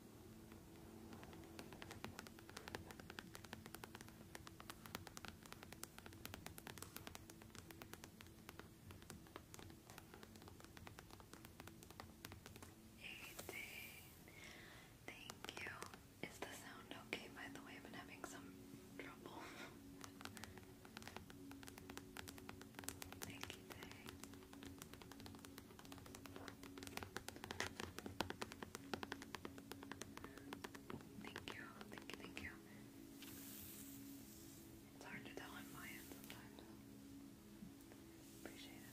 Thank you. Is the sound okay, by the way? I've been having some trouble. Thank you, Thank you, thank you, thank you. It's hard to tell on my end sometimes. Appreciate it.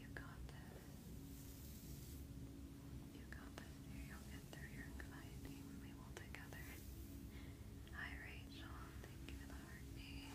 You got this. You got this. You'll get through your anxiety. We'll together. Hi, Rachel. Thank you for the heartbeat. you?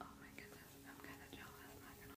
oh my goodness, I'm kind of jealous, I'm not gonna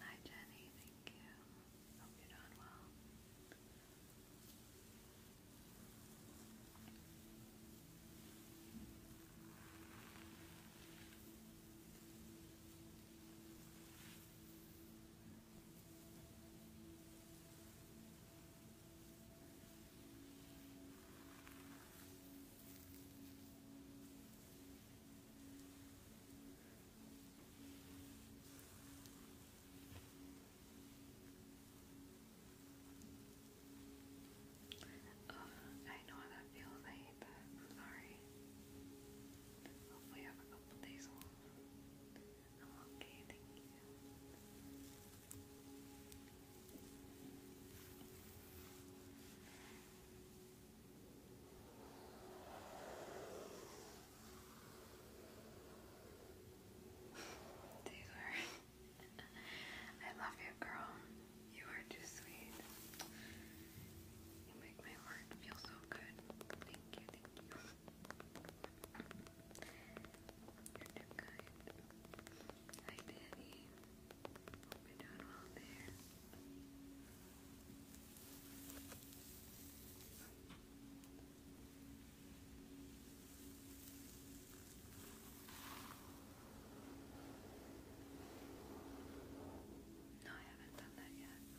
Hi Jenny, thank you. Hope you're doing well. Uh, I know how that feels. I'm sorry. Hopefully, I have a couple days off okay, thank you. Taylor, I love you, girl. You are too sweet. You make my heart feel so good. Thank you, thank you you Hi, Danny. Hope you're doing well there. No, I haven't done that yet.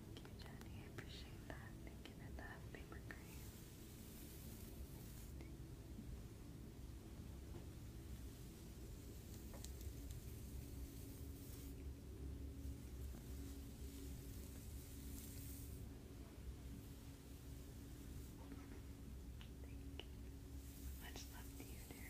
Thank you, Jenny. I appreciate that. Thank you for that paper crane. Thank you. Much love to you, dear.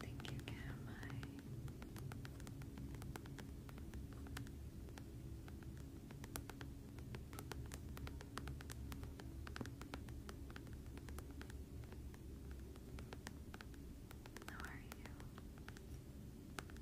Thank you can have my you?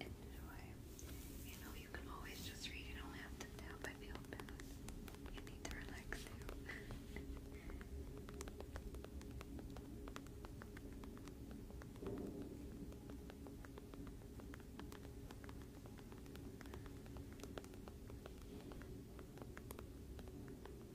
Enjoy. You know, you can always just read, you don't have to tap. I feel bad. You need to relax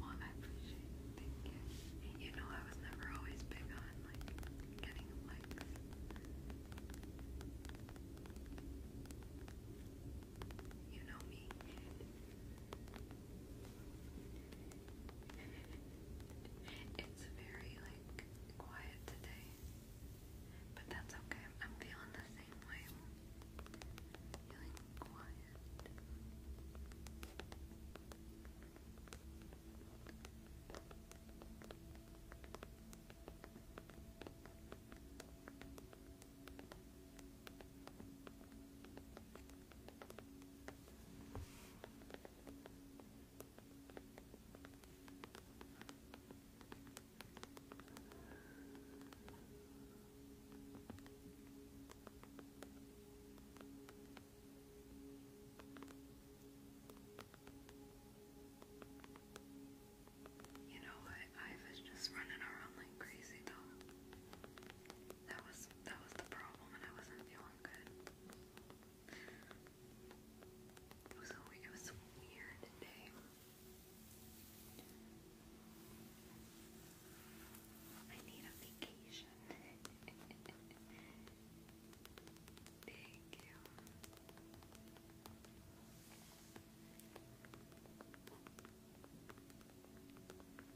well, I appreciate thank you. You know I was never always big on like getting likes. You know me. It's very like quiet today. But that's okay. I'm feeling the same way. Feeling quiet. You know what? I was just running around like crazy though. That was that was the problem, and I wasn't feeling good. It was a it was weird day. I need a vacation. Thank you.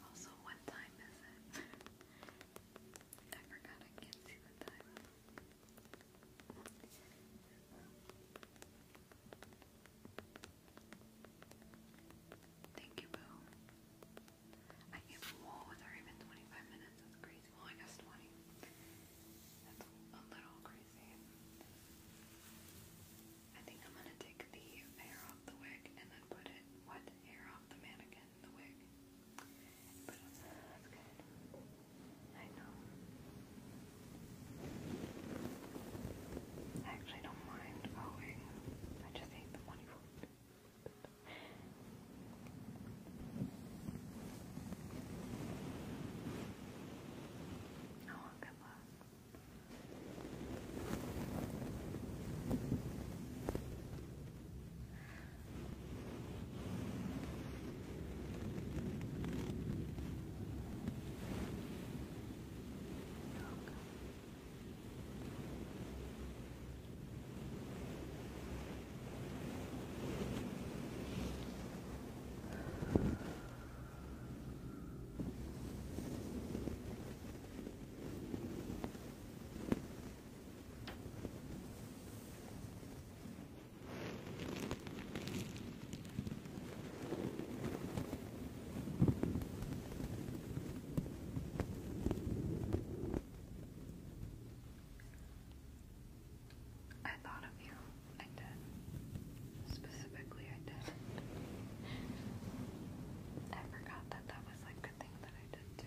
Also, what time is it? I forgot I can't see the time. Thank you, Boo. I can't. Whoa, it's 25 minutes. That's crazy. Well, I guess 20. That's a little crazy. I think I'm gonna take the hair off the wig and then put it what hair off the mannequin in the wig. I know. I actually don't mind going. I just hate the money for it. Oh, good luck. Yoga. I thought of you. I did. Specifically, I did. I forgot that that was like a thing that I did too.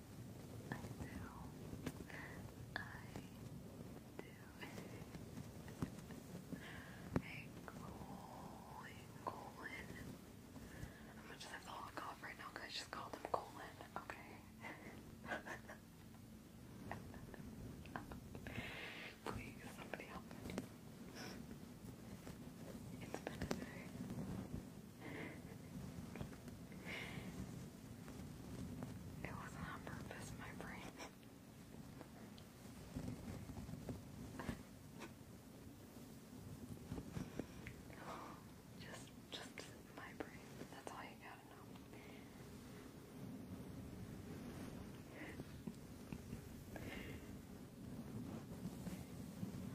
I do. I do. hey, Colin, I'm just have to log off right now because just called him Colin, okay? somebody help me. It's been a day. It was on purpose, my brain. just, just my brain. That's all you gotta know.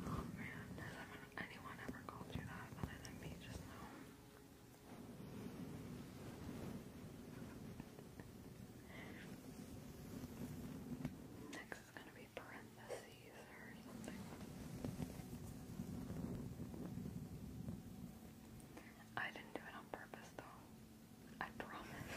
oh man, has anyone ever called you that other than me just now? Next is going to be parentheses or something. I didn't do it on purpose though. I promise.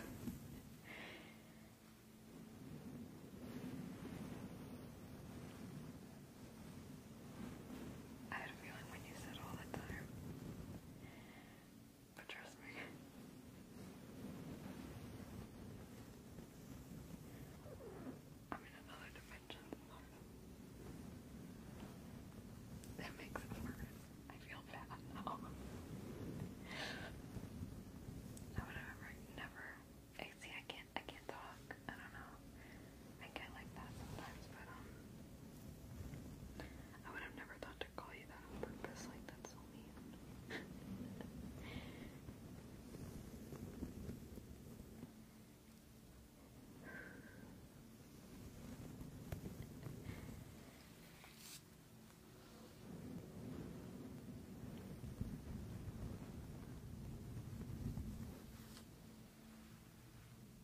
I had a feeling when you said all that time. But trust me. I'm in another dimension. That makes it worse. I feel bad now. I never. See, I can't. I can't talk. I don't know. I get like that sometimes, but um, I would have never thought to call you that on purpose. Like that's so mean.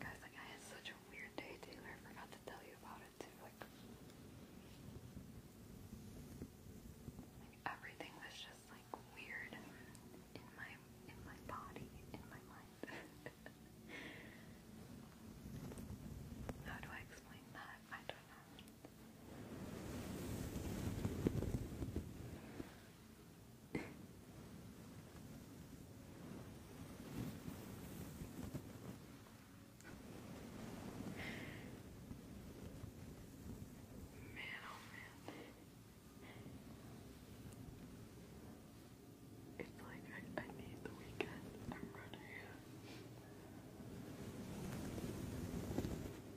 Guys, like I had such a weird day Taylor, I forgot to tell you about it too. Like, like everything was just like weird in my in my body, in my mind. How do I explain that? I don't know man, oh man. It's like I, I need the weekend. I'm running out.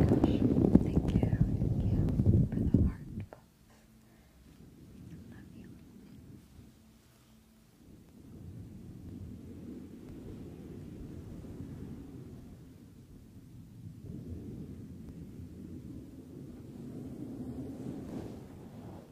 gosh, thank you, thank you for the heart Love you.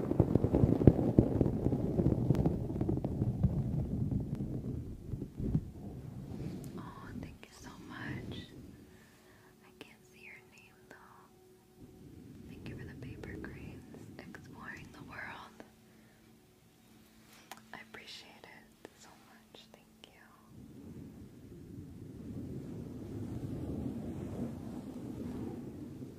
Oh, thank you so much. I can't see your name though. Thank you for the paper cranes. Exploring the world. I appreciate it so much. Thank you. Oh, at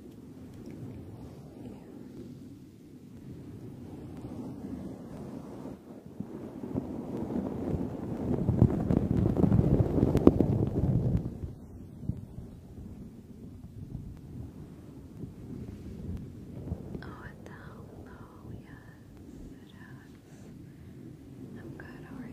the hello, yes, I'm good, how are you?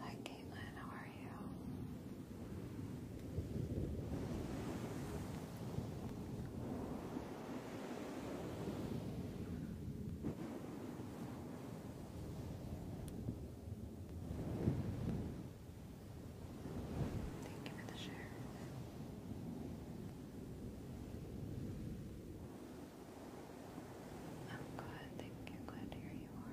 Hi Caitlin, how are you? Thank you for the share. I'm glad, thank you, glad to you are.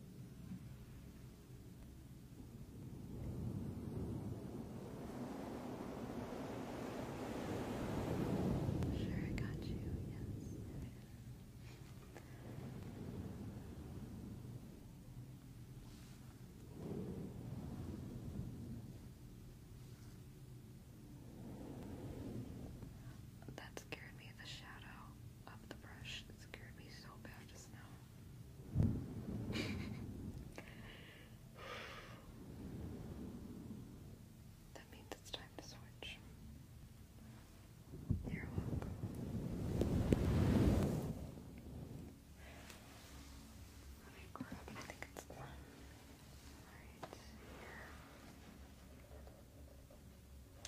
Sure, I got you. Yes. That scared me, the shadow of the brush. It scared me so bad just now. that means it's time to switch. You're welcome. I think it's the right here.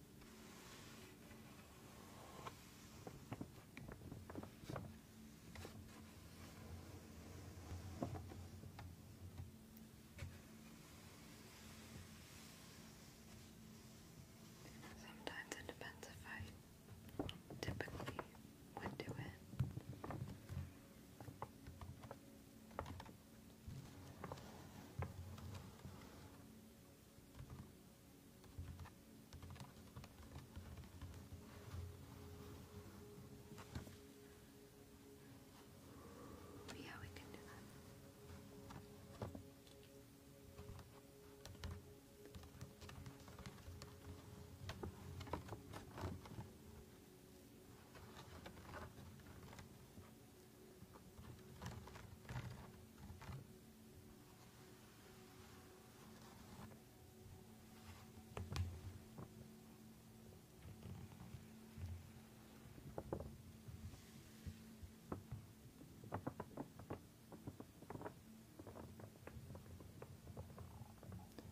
Sometimes it depends if I typically would do it. Yeah, we can do that.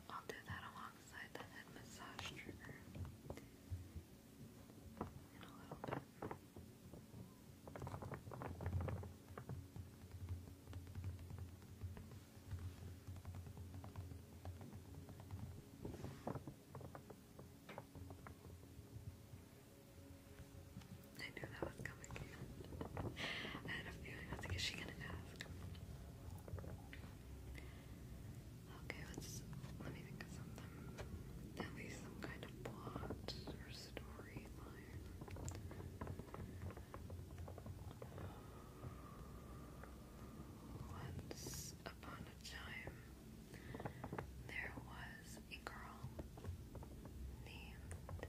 I'll do that alongside the head massage trigger in a little bit. I knew that was coming. I had a feeling. I was like, is she gonna ask? Okay, let's let me think of something. At least some kind of plot or story breathe iron. Once upon a time, there was a girl named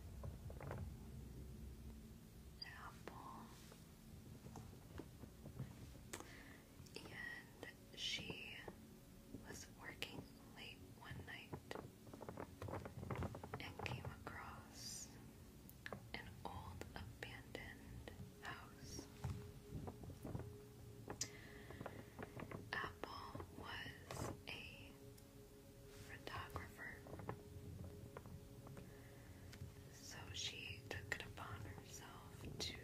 Apple, and she was working late one night and came across an old abandoned house. Apple was a photographer. So she took it upon herself to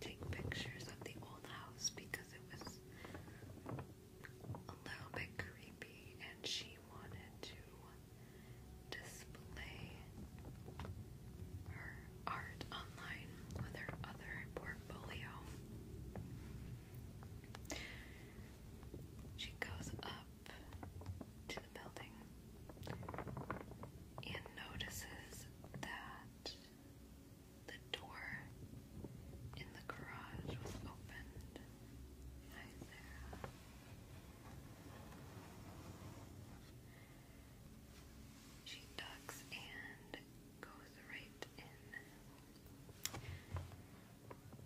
take pictures of the old house because it was a little bit creepy, and she wanted to display her art online with her other portfolio. She goes up to the building and notices that the door in the garage was opened. She ducks and goes right in.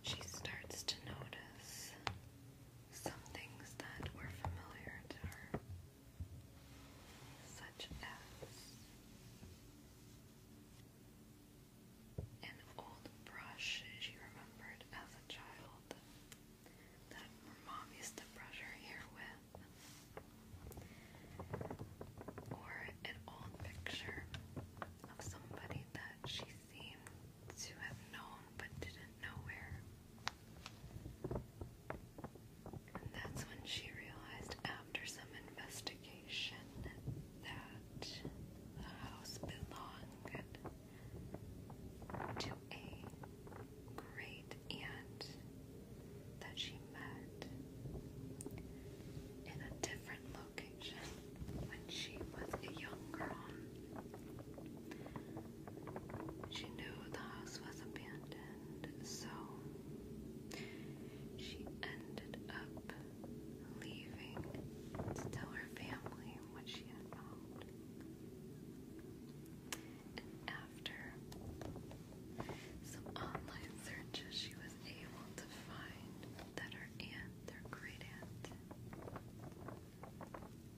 She starts to notice some things that were familiar to her, such as an old brush she remembered as a child that her mom used to brush her hair with, or an old picture of somebody that she seemed to have known but didn't know where. And that's when she realized, after some investigation, that the house belonged to a great aunt that she met in a different location when she was a young girl. She knew the house was abandoned, so she ended up leaving to tell her family what she had found. And after some online searches, she was able to find that her aunt, their great aunt,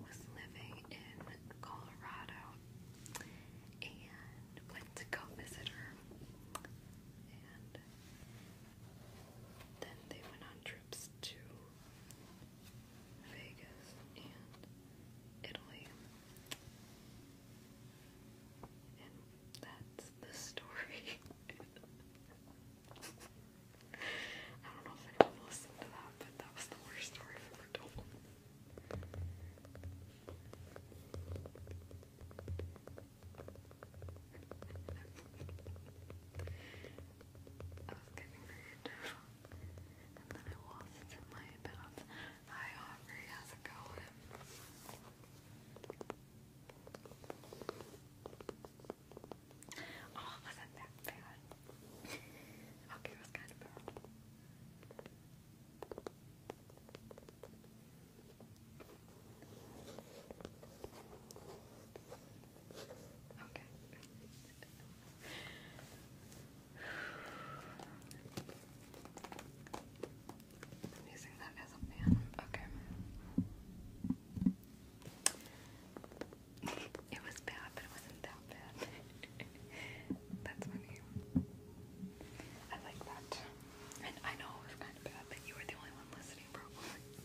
was living in Colorado and went to go visit her. Then they went on trips to Vegas and Italy. And that's the story. I don't know if anyone listened to that, but that was the worst story ever told. I was getting creative, and then I lost my balance. Hi, Aubrey, how's it going? Oh, it wasn't that bad. okay, it was kind of bad. Okay. using that as a fan. Okay. It was bad, but it wasn't that bad. That's funny. I like that. And I know it was kind of bad, but you were the only one listening, probably.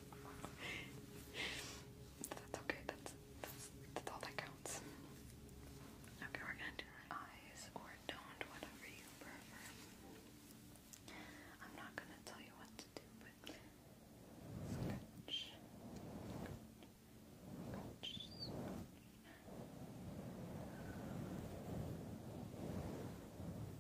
that's okay, that's, that's, all that counts. Okay, we're gonna do eyes or don't, whatever you prefer. I'm not gonna tell you what to do, but scratch, scratch,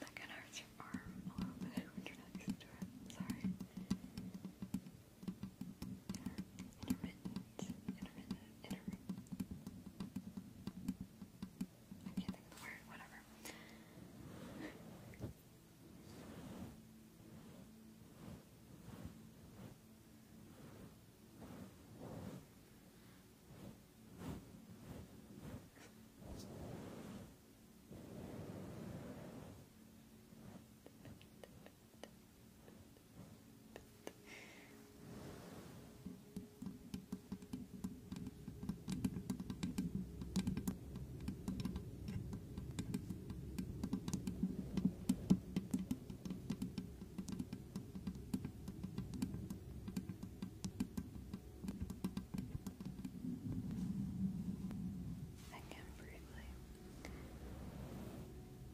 That kind of hurts your arm a little bit when you're not to it. Sorry. Intermittent, intermittent in a I can't think of the word, whatever. Again, briefly.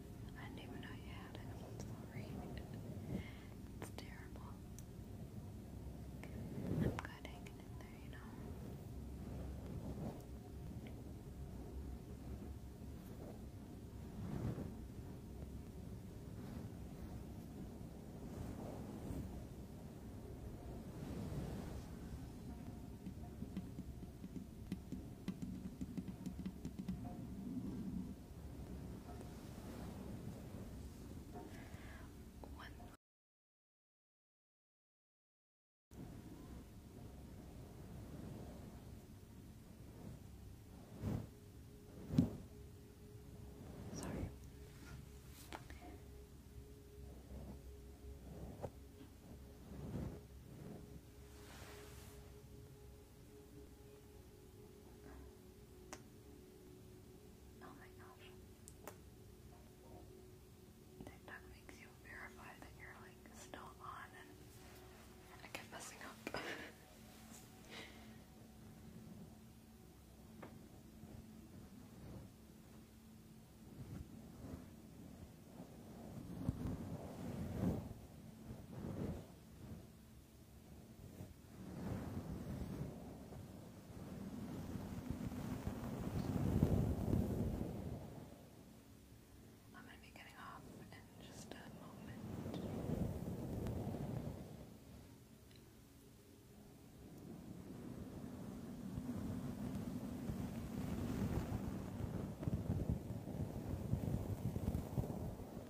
I didn't even know you had it. It's terrible. I'm good hanging in there, you know. One. Sorry. Oh my gosh. TikTok makes you verify that you're like still on and I kept messing up. I'm going to be getting off in just a moment. I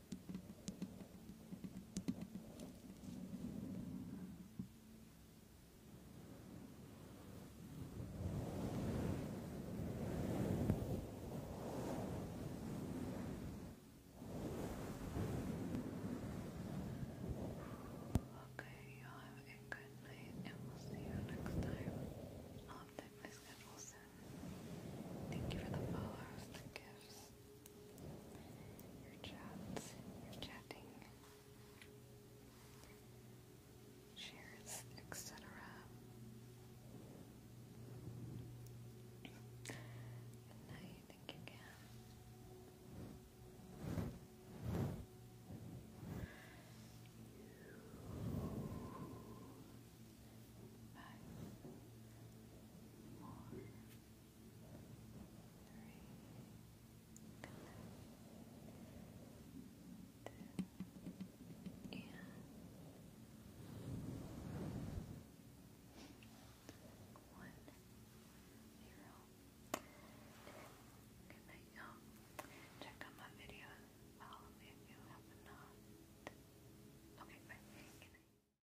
Okay, y'all have a good night and we'll see you next time. I'll update my schedule soon. Thank you for the follows, the gifts your chats, your chatting, shares, etc. Good night, thank you again. Five, four, two, and one, zero. Good night, you Check out my videos. Follow me if you have not. Okay, bye.